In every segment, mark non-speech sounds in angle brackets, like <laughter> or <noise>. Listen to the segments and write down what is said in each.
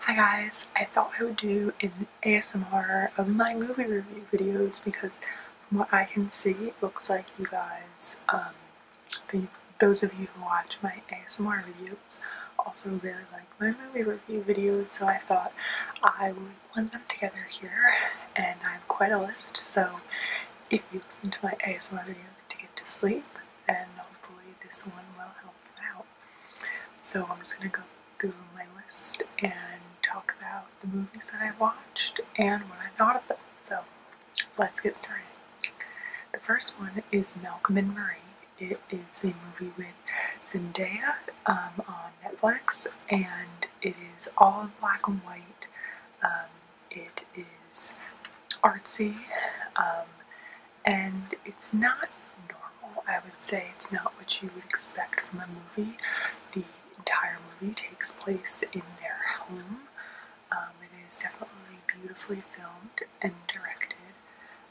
Hi guys, I thought I would do an ASMR of my movie review videos because from what I can see it looks like you guys, um, those of you who watch my ASMR videos also really like my movie review videos so I thought I would blend them together here and I have quite a list so if you listen to my ASMR videos to get to sleep and hopefully this one will help so I'm just going to go through my list and talk about the movies that I watched and what I thought of them. So let's get started. The first one is Malcolm and Marie. It is a movie with Zendaya um, on Netflix and it is all in black and white. Um, it is artsy um, and it's not normal. I would say it's not what you would expect from a movie. The entire movie takes place in their home. Um, it is definitely beautifully filmed and directed.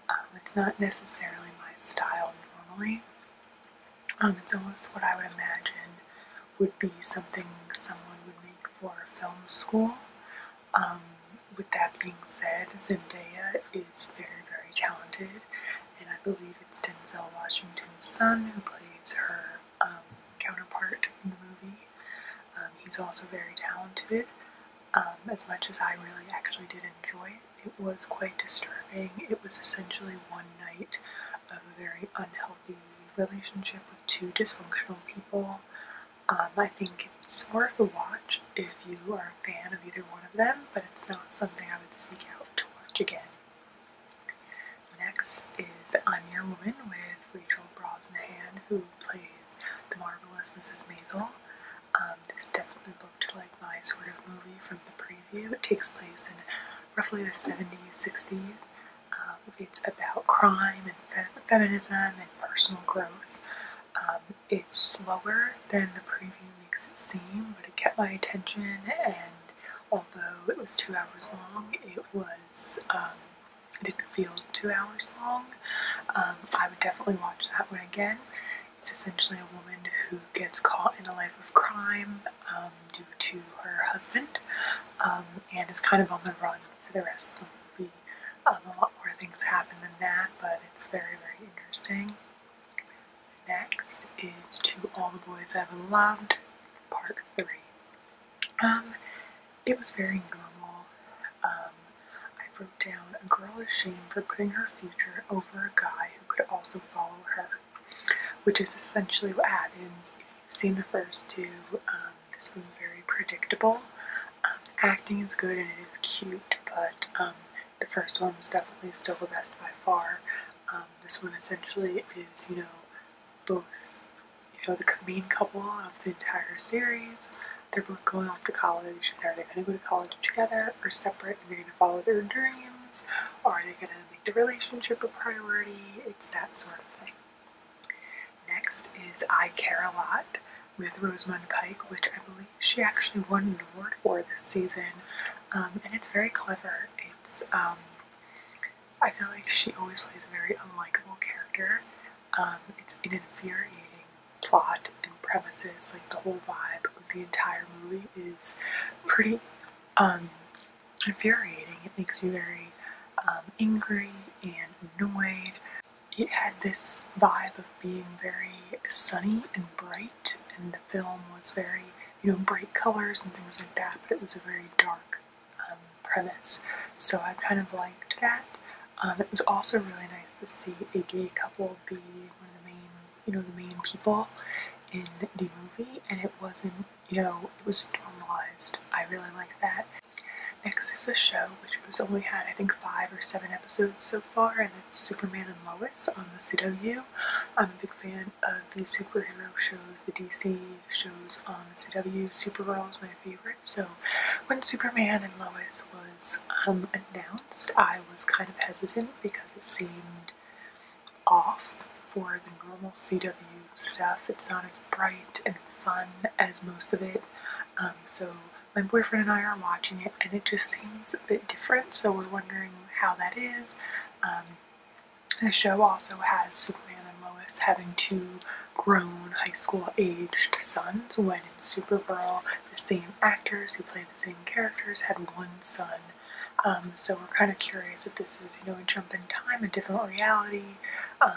Um, it's not necessarily my style normally. Um, it's almost what I would imagine would be something someone would make for film school. Um, with that being said, Zendaya is very, very talented, and I believe it's Denzel Washington's son who plays her um, counterpart in the movie. Um, he's also very talented. as much as I really actually did enjoy it, it was quite disturbing. It was essentially one night of a very unhealthy relationship with two dysfunctional people. Um, I think it's worth a watch if you are a fan of either one of them, but it's not something I would seek out to watch again. Next is I'm Your Woman with Rachel Brosnahan, who plays the marvelous Mrs. Maisel. Um, this definitely looked like my sort of movie from the preview. It takes place in roughly the 70s, 60s. Um, it's about crime and feminism and personal growth it's slower than the preview makes it seem, but it kept my attention. And although it was two hours long, it was um, didn't feel two hours long. Um, I would definitely watch that one again. It's essentially a woman who gets caught in a life of crime um, due to her husband, and is kind of on the run for the rest of the movie a lot more things happen than that, but it's very, very interesting. Next is To All the Boys I've Loved, Part 3. Um, it was very normal. Um, I wrote down a girl is shamed for putting her future over a guy who could also follow her, which is essentially what happens. If you've seen the first two, um, this one's very predictable. Um, acting is good and it is cute, but um, the first one was definitely still the best by far. Um, this one essentially is, you know, both, you know, the main couple of the entire series. They're both going off to college, are they going to go to college together or separate, and they're going to follow their dreams? or Are they going to make the relationship a priority? It's that sort of thing. Next is I Care a Lot with Rosamund Pike, which I believe she actually won an award for this season, um, and it's very clever. It's um, I feel like she always plays a very unlikable character. Um, it's an infuriating plot and premises. Like the whole vibe of the entire movie is pretty infuriating. It makes you very angry and annoyed it had this vibe of being very sunny and bright, and the film was very, you know, bright colors and things like that, but it was a very dark um, premise. So I kind of liked that. Um, it was also really nice to see a gay couple be one of the main, you know, the main people in the movie, and it wasn't, you know, it was normalized. I really like that. Next is a show which was only had I think five or seven episodes so far, and that's Superman and Lois on the CW. I'm a big fan of the superhero shows, the DC shows on the CW. Supergirl is my favorite, so when Superman and Lois was um, announced, I was kind of hesitant because it seemed off for the normal CW stuff. It's not as bright and fun as most of it, um, so my boyfriend and I are watching it, and it just seems a bit different. So we're wondering how that is. Um, the show also has Superman and Lois having two grown high school aged sons, when in Supergirl, the same actors who play the same characters had one son. Um, so we're kind of curious if this is, you know, a jump in time, a different reality. Um,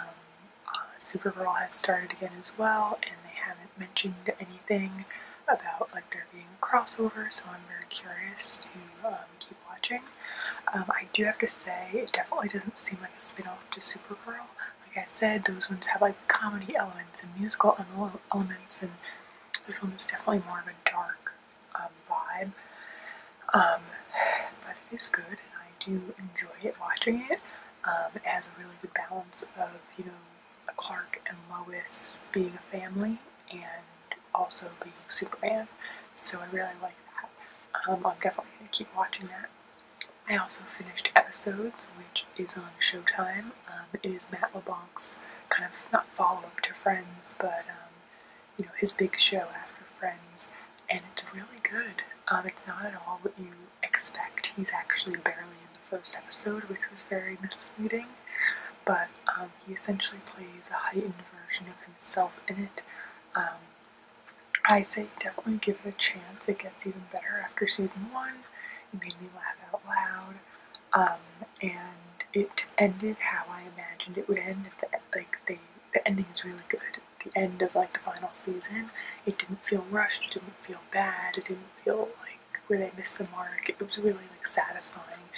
uh, Supergirl has started again as well, and they have not mentioned anything about like there being a crossover, so I'm very curious to um, keep watching. Um, I do have to say, it definitely doesn't seem like a spinoff to Supergirl. Like I said, those ones have like comedy elements and musical elements, and this one is definitely more of a dark um, vibe. but it is good, and I do enjoy it watching it. it has a really good balance of you know Clark and Lois being a family and also being Superman. So I really like that. Um, I'm definitely going to keep watching that. I also finished Episodes, which is on Showtime. Um, it is Matt LeBlanc's kind of, not follow-up to Friends, but, um, you know, his big show after Friends. And it's really good. it's not at all what you expect. He's actually barely in the first episode, which was very misleading, but um, he essentially plays a heightened version of himself in it. Um, I say definitely give it a chance. It gets even better after season one. It made me laugh out loud, um, and it ended how I imagined it would end. If the the ending is really good. The end of like the final season, it didn't feel rushed. It didn't feel bad. It didn't feel like where they missed the mark. It was really like satisfying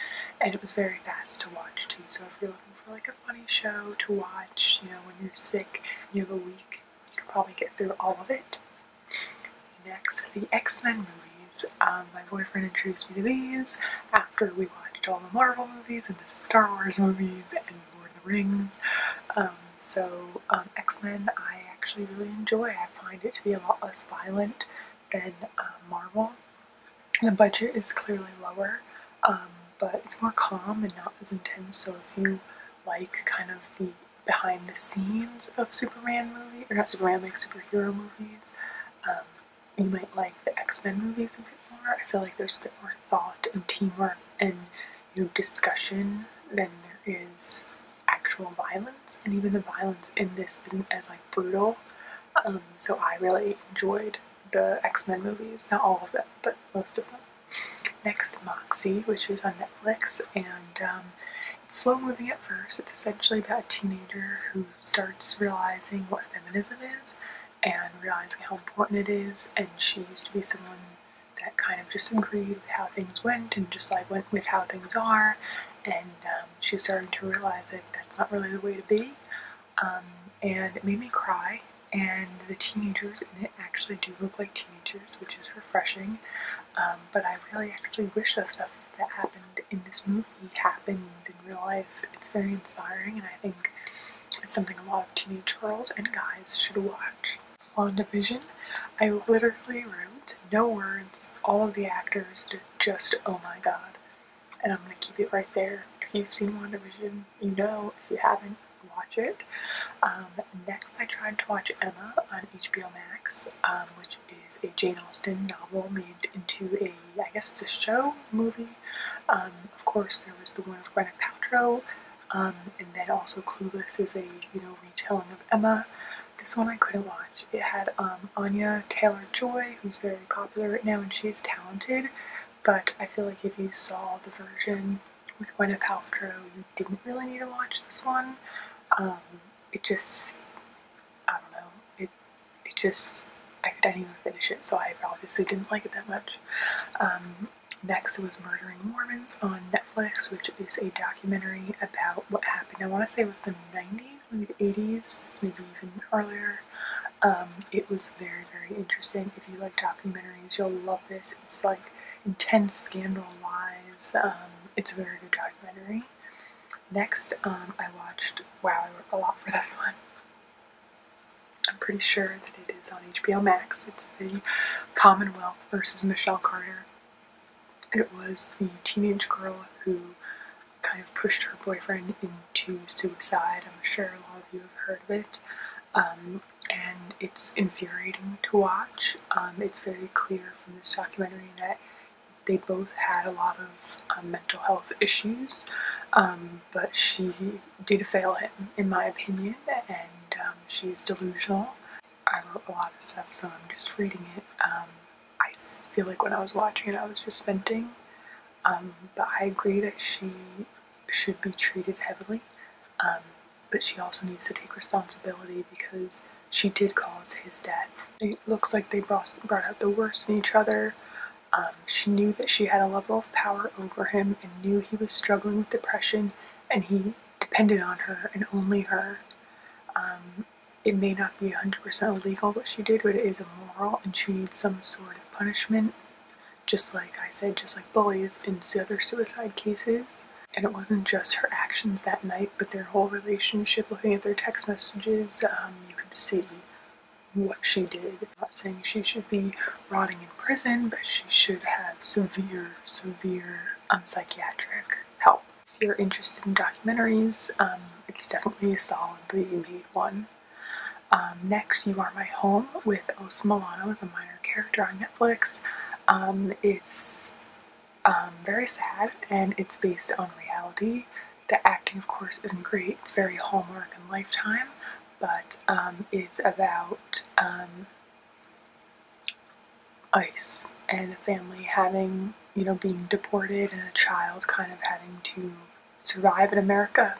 and it was very fast to watch too. So if you're looking for like a funny show to watch, you know, when you're sick, you have a week, you could probably get through all of it. Next, the X-Men movies. Um, my boyfriend introduced me to these after we watched all the Marvel movies and the Star Wars movies and Lord of the Rings. Um, so um, X-Men I actually really enjoy. I find it to be a lot less violent than uh, Marvel. The budget is clearly lower, um, but it's more calm and not as intense. So if you like kind of the behind the scenes of Superman movie, or not Superman, like superhero movies, um, you might like the X-Men movies a bit more. I feel like there's a bit more thought and teamwork and you know, discussion than there is actual violence, and even the violence in this isn't as like brutal. Um, so I really enjoyed the X Men movies, not all of them, but most of them. Next, Moxie, which is on Netflix, and um, it's slow moving at first. It's essentially about a teenager who starts realizing what feminism is and realizing how important it is, and she used to be someone that kind of just agreed with how things went and just like went with how things are. And um, she's starting to realize that that's not really the way to be. Um, and it made me cry. And the teenagers in it actually do look like teenagers, which is refreshing. Um, but I really actually wish that stuff that happened in this movie happened in real life. It's very inspiring, and I think it's something a lot of teenage girls and guys should watch. WandaVision, I literally wrote, no words, all of the actors did just oh my god. And I'm gonna keep it right there. If you've seen WandaVision, you know. If you haven't, watch it. Um, next, I tried to watch Emma on HBO Max, um, which is a Jane Austen novel made into a, I guess it's a show, movie. Um, of course, there was the one with Gwyneth Paltrow, um, and then also Clueless is a, you know, retelling of Emma. This one I couldn't watch. It had um, Anya Taylor-Joy, who's very popular right now, and she's talented, but I feel like if you saw the version with Gweneth Paltrow, you didn't really need to watch this one. Um, it just, I don't know, it, it just, I could not even finish it, so I obviously didn't like it that much. Next was Murdering Mormons on Netflix, which is a documentary about what happened. I want to say it was the 90s, maybe the 80s, maybe even earlier. Um, it was very, very interesting. If you like documentaries, you'll love this. It's like intense scandal lives. Um, it's a very good documentary. Next, um, I watched, wow, I worked a lot for this <laughs> one. I'm pretty sure that it is on HBO Max. It's the Commonwealth versus Michelle Carter it was the teenage girl who kind of pushed her boyfriend into suicide. I'm sure a lot of you have heard of it. Um, and it's infuriating to watch. Um, it's very clear from this documentary that they both had a lot of um, mental health issues, but she did fail him, in my opinion, and she's delusional. I wrote a lot of stuff, so I'm just reading it. Um, I feel like when I was watching it, I was just venting. Um, but I agree that she should be treated heavily. Um, but she also needs to take responsibility because she did cause his death. It looks like they brought, brought out the worst in each other. she knew that she had a level of power over him and knew he was struggling with depression and he depended on her and only her. Um, it may not be 100% illegal what she did, but it is immoral and she needs some sort of punishment. Just like I said, just like bullies and the other suicide cases. And it wasn't just her actions that night, but their whole relationship, looking at their text messages, um, you could see what she did. not saying she should be rotting in prison, but she should have severe, severe um, psychiatric help. If you're interested in documentaries, um, it's definitely a solidly made one. Um, next, You Are My Home with Os Milano as a minor character on Netflix. Um, it's um, very sad and it's based on reality. The acting, of course, isn't great. It's very Hallmark and Lifetime, but it's about ICE and a family having, you know, being deported and a child kind of having to survive in America.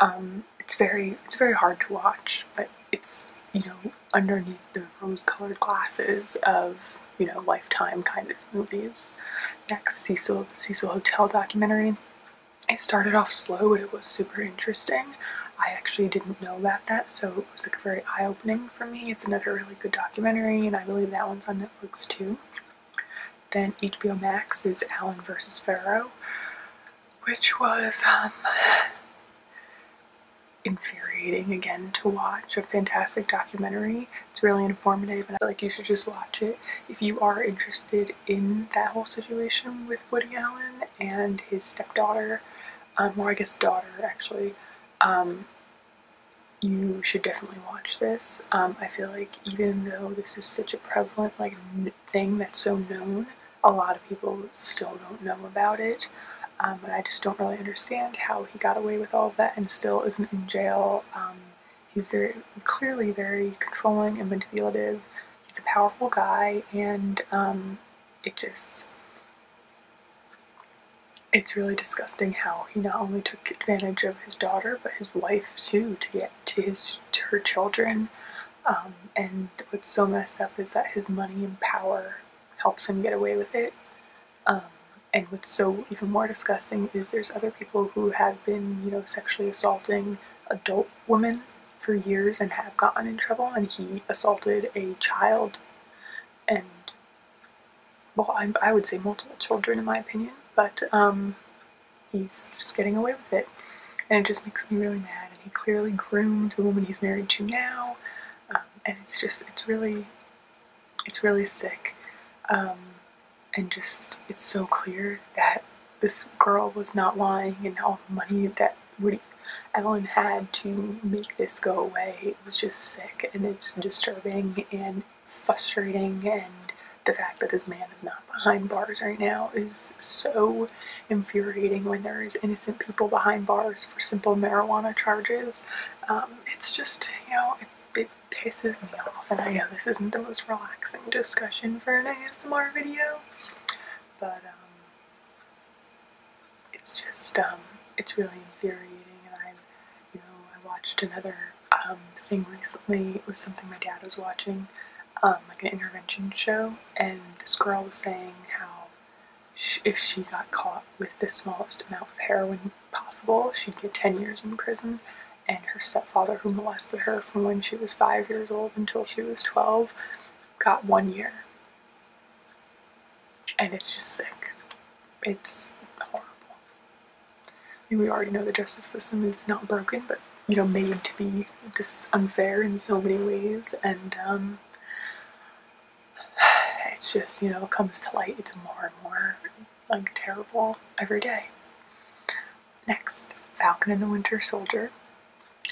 Um, it's very, it's very hard to watch, but it's, you know, underneath the rose-colored glasses of, you know, lifetime kind of movies. Next, Cecil, Cecil Hotel documentary. It started off slow, but it was super interesting. I actually didn't know about that, so it was like a very eye-opening for me. It's another really good documentary, and I believe that one's on Netflix too. Then HBO Max is Allen versus Pharaoh, which was um, infuriating again to watch. A fantastic documentary. It's really informative, and I feel like you should just watch it if you are interested in that whole situation with Woody Allen and his stepdaughter um, or I guess daughter actually, um, you should definitely watch this. Um, I feel like even though this is such a prevalent like thing that's so known, a lot of people still don't know about it. Um, but I just don't really understand how he got away with all of that and still isn't in jail. he's very clearly very controlling and manipulative. He's a powerful guy, and it just it's really disgusting how he not only took advantage of his daughter but his wife too to get to his to her children um, and what's so messed up is that his money and power helps him get away with it um, and what's so even more disgusting is there's other people who have been you know sexually assaulting adult women for years and have gotten in trouble, and he assaulted a child and, well, I, I would say multiple children in my opinion, but um, he's just getting away with it. And it just makes me really mad. And he clearly groomed the woman he's married to now, um, and it's just, it's really, it's really sick. Um, and just, it's so clear that this girl was not lying and all the money that we, had to make this go away. It was just sick and it's disturbing and frustrating and the fact that this man is not behind bars right now is so infuriating when there is innocent people behind bars for simple marijuana charges. Um, it's just, you know, it, it pisses me off and I know this isn't the most relaxing discussion for an ASMR video, but um, it's just um, it's really infuriating. And I, you know, I watched another um, thing recently. It was something my dad was watching, um, like an intervention show, and this girl was saying how if she got caught with the smallest amount of heroin possible, she'd get ten years in prison. And her stepfather, who molested her from when she was five years old until she was twelve, got one year. And it's just sick. It's horrible. I mean, we already know the justice system is not broken, but you know, made to be this unfair in so many ways, and um, <sighs> it's just you know comes to light. It's more and more like terrible every day. Next, Falcon and the Winter Soldier.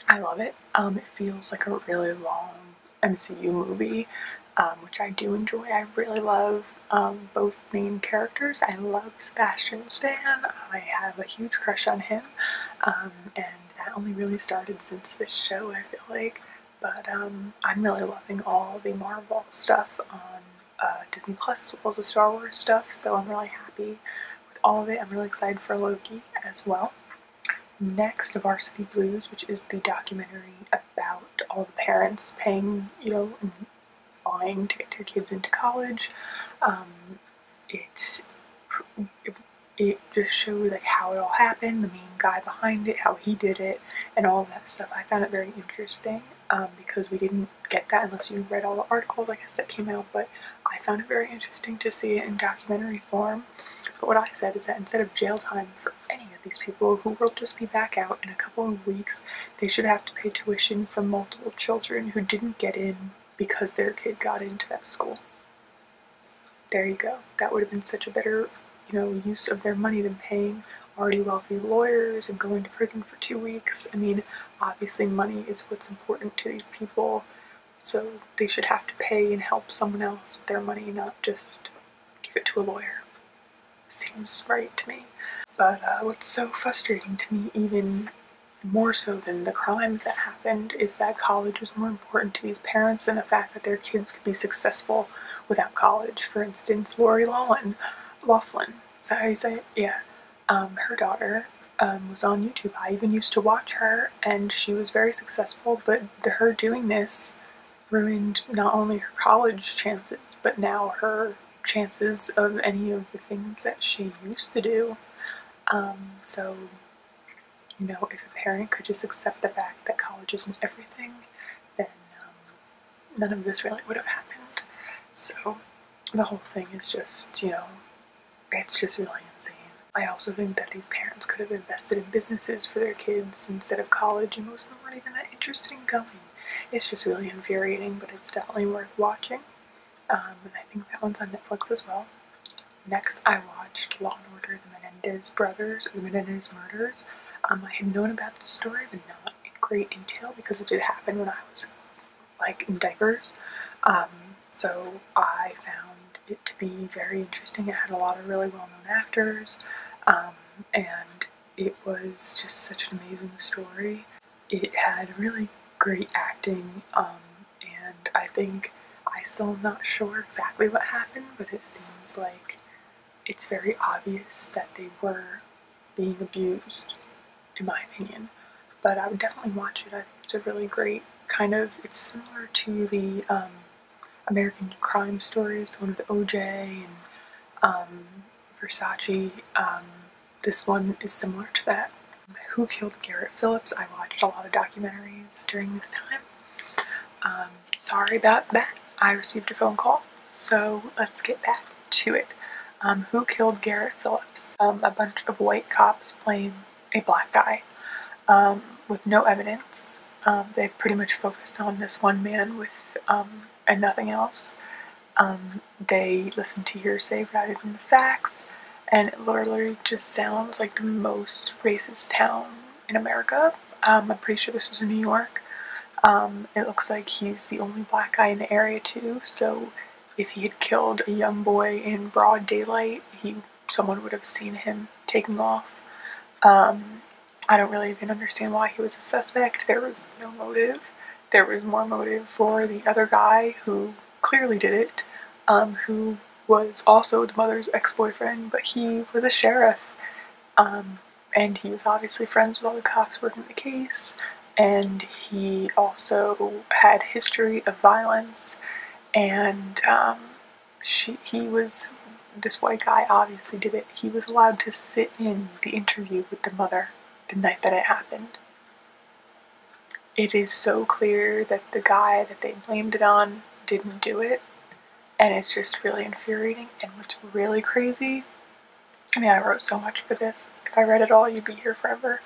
I love it. Um, it feels like a really long MCU movie, um, which I do enjoy. I really love um, both main characters. I love Sebastian Stan. I have a huge crush on him, and that only really started since this show, I feel like. But I'm really loving all the Marvel stuff on uh, Disney Plus as well as the Star Wars stuff, so I'm really happy with all of it. I'm really excited for Loki as well. Next, Varsity Blues, which is the documentary about all the parents paying, you know, and lying to get their kids into college. Um, it, it just showed like how it all happened, the main guy behind it, how he did it, and all that stuff. I found it very interesting um, because we didn't get that unless you read all the articles, I guess, that came out. But I found it very interesting to see it in documentary form but what I said is that instead of jail time for any of these people who will just be back out in a couple of weeks, they should have to pay tuition for multiple children who didn't get in because their kid got into that school. There you go. That would have been such a better, you know, use of their money than paying already wealthy lawyers and going to prison for two weeks. I mean, obviously money is what's important to these people. So they should have to pay and help someone else with their money, not just give it to a lawyer. Seems right to me. But uh, what's so frustrating to me, even more so than the crimes that happened, is that college was more important to these parents than the fact that their kids could be successful without college. For instance, Lori Laughlin, Laughlin, is that how you say it? Yeah. Um, her daughter um, was on YouTube. I even used to watch her and she was very successful, but her doing this ruined not only her college chances, but now her chances of any of the things that she used to do. Um, so, you know, if a parent could just accept the fact that college isn't everything, then um, none of this really would have happened. So, the whole thing is just, you know, it's just really insane. I also think that these parents could have invested in businesses for their kids instead of college, and most of them aren't even that interested in going. It's just really infuriating, but it's definitely worth watching. Um, and I think that one's on Netflix as well. Next, I watched Law and Order: The Menendez Brothers, The Menendez Murders. Um, I had known about the story, but not in great detail because it did happen when I was like in diapers. Um, so I found it to be very interesting. It had a lot of really well-known actors, um, and it was just such an amazing story. It had really great acting, um, and I think I still am not sure exactly what happened, but it seems like it's very obvious that they were being abused, in my opinion. But I would definitely watch it. it's a really great kind of, it's similar to the um, American crime stories, one with OJ and um, Versace. Um, this one is similar to that. Who Killed Garrett Phillips? I watched a lot of documentaries during this time. sorry about that. I received a phone call, so let's get back to it. who Killed Garrett Phillips? a bunch of white cops playing a black guy um, with no evidence. Um, they pretty much focused on this one man with um, and nothing else. they listened to hearsay rather than the facts, and it literally just sounds like the most racist town in America. I'm pretty sure this was in New York. it looks like he's the only black guy in the area too. So, if he had killed a young boy in broad daylight, he someone would have seen him taking off. Um, I don't really even understand why he was a suspect. There was no motive. There was more motive for the other guy who clearly did it, um, who was also the mother's ex boyfriend, but he was a sheriff. Um, and he was obviously friends with all the cops working the case, and he also had history of violence and um, he was, this white guy obviously did it, he was allowed to sit in the interview with the mother the night that it happened. It is so clear that the guy that they blamed it on didn't do it, and it's just really infuriating. And what's really crazy, I mean, I wrote so much for this. If I read it all, you'd be here forever.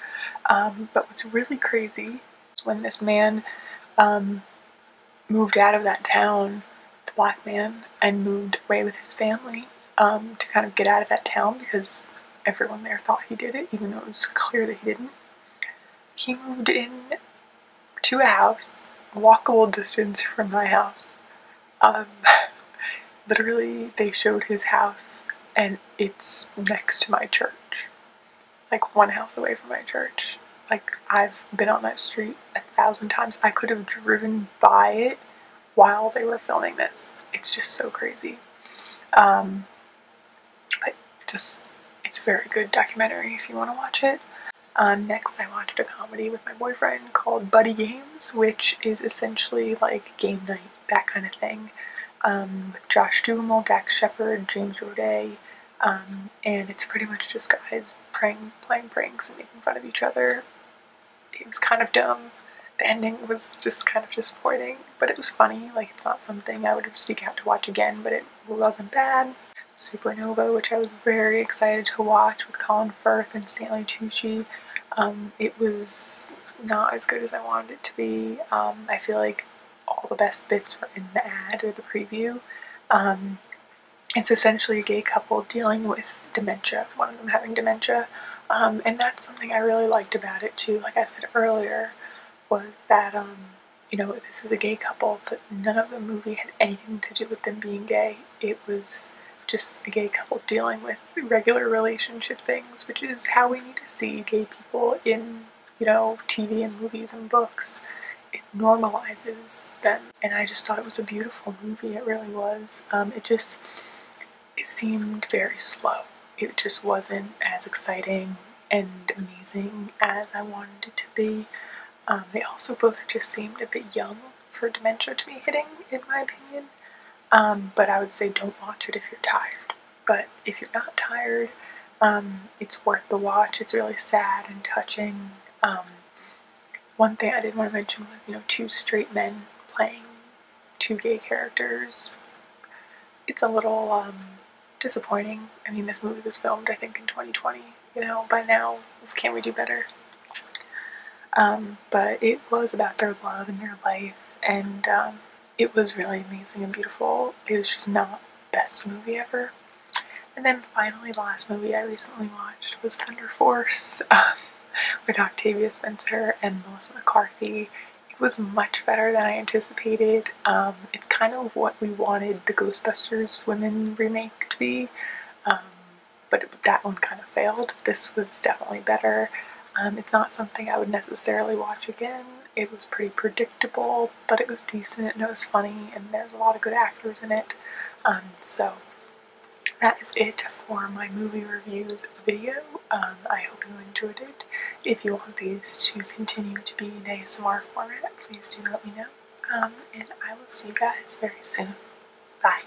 Um, but what's really crazy when this man um, moved out of that town, the black man, and moved away with his family um, to kind of get out of that town because everyone there thought he did it, even though it was clear that he didn't. He moved in to a house, walkable distance from my house. Um, <laughs> literally, they showed his house, and it's next to my church like one house away from my church. Like I've been on that street a thousand times. I could have driven by it while they were filming this. It's just so crazy. Um, but just it's very good documentary if you want to watch it. Um, next, I watched a comedy with my boyfriend called Buddy Games, which is essentially like game night, that kind of thing with um, Josh Duhamel, Dax Shepard, James Roday, um, and it's pretty much just guys playing pranks and making fun of each other. It was kind of dumb. The ending was just kind of disappointing, but it was funny. Like, it's not something I would seek out to watch again, but it wasn't bad. Supernova, which I was very excited to watch with Colin Firth and Stanley Tucci. Um, it was not as good as I wanted it to be. I feel like all the best bits were in the ad or the preview. Um, it's essentially a gay couple dealing with dementia, one of them having dementia. Um, and that's something I really liked about it too, like I said earlier, was that, um, you know, this is a gay couple, but none of the movie had anything to do with them being gay. It was just a gay couple dealing with regular relationship things, which is how we need to see gay people in you know, TV and movies and books. It normalizes them. And I just thought it was a beautiful movie. It really was. Um, it just, it seemed very slow. It just wasn't as exciting and amazing as I wanted it to be. Um, they also both just seemed a bit young for dementia to be hitting, in my opinion. Um, but I would say don't watch it if you're tired but if you're not tired, um, it's worth the watch. It's really sad and touching. Um, one thing I did want to mention was, you know, two straight men playing two gay characters. It's a little um, disappointing. I mean, this movie was filmed, I think, in 2020. You know, by now, can we do better? but it was about their love and their life, and it was really amazing and beautiful. It was just not best movie ever. And then finally, the last movie I recently watched was Thunder Force um, <laughs> with Octavia Spencer and Melissa McCarthy. It was much better than I anticipated. Um, it's kind of what we wanted the Ghostbusters women remake to be, um, but that one kind of failed. This was definitely better. it's not something I would necessarily watch again. It was pretty predictable, but it was decent and it was funny and there's a lot of good actors in it. Um, so that is it for my movie reviews video. Um, I hope you enjoyed it. If you want these to continue to be in ASMR format, please do let me know. Um, and I will see you guys very soon. Bye.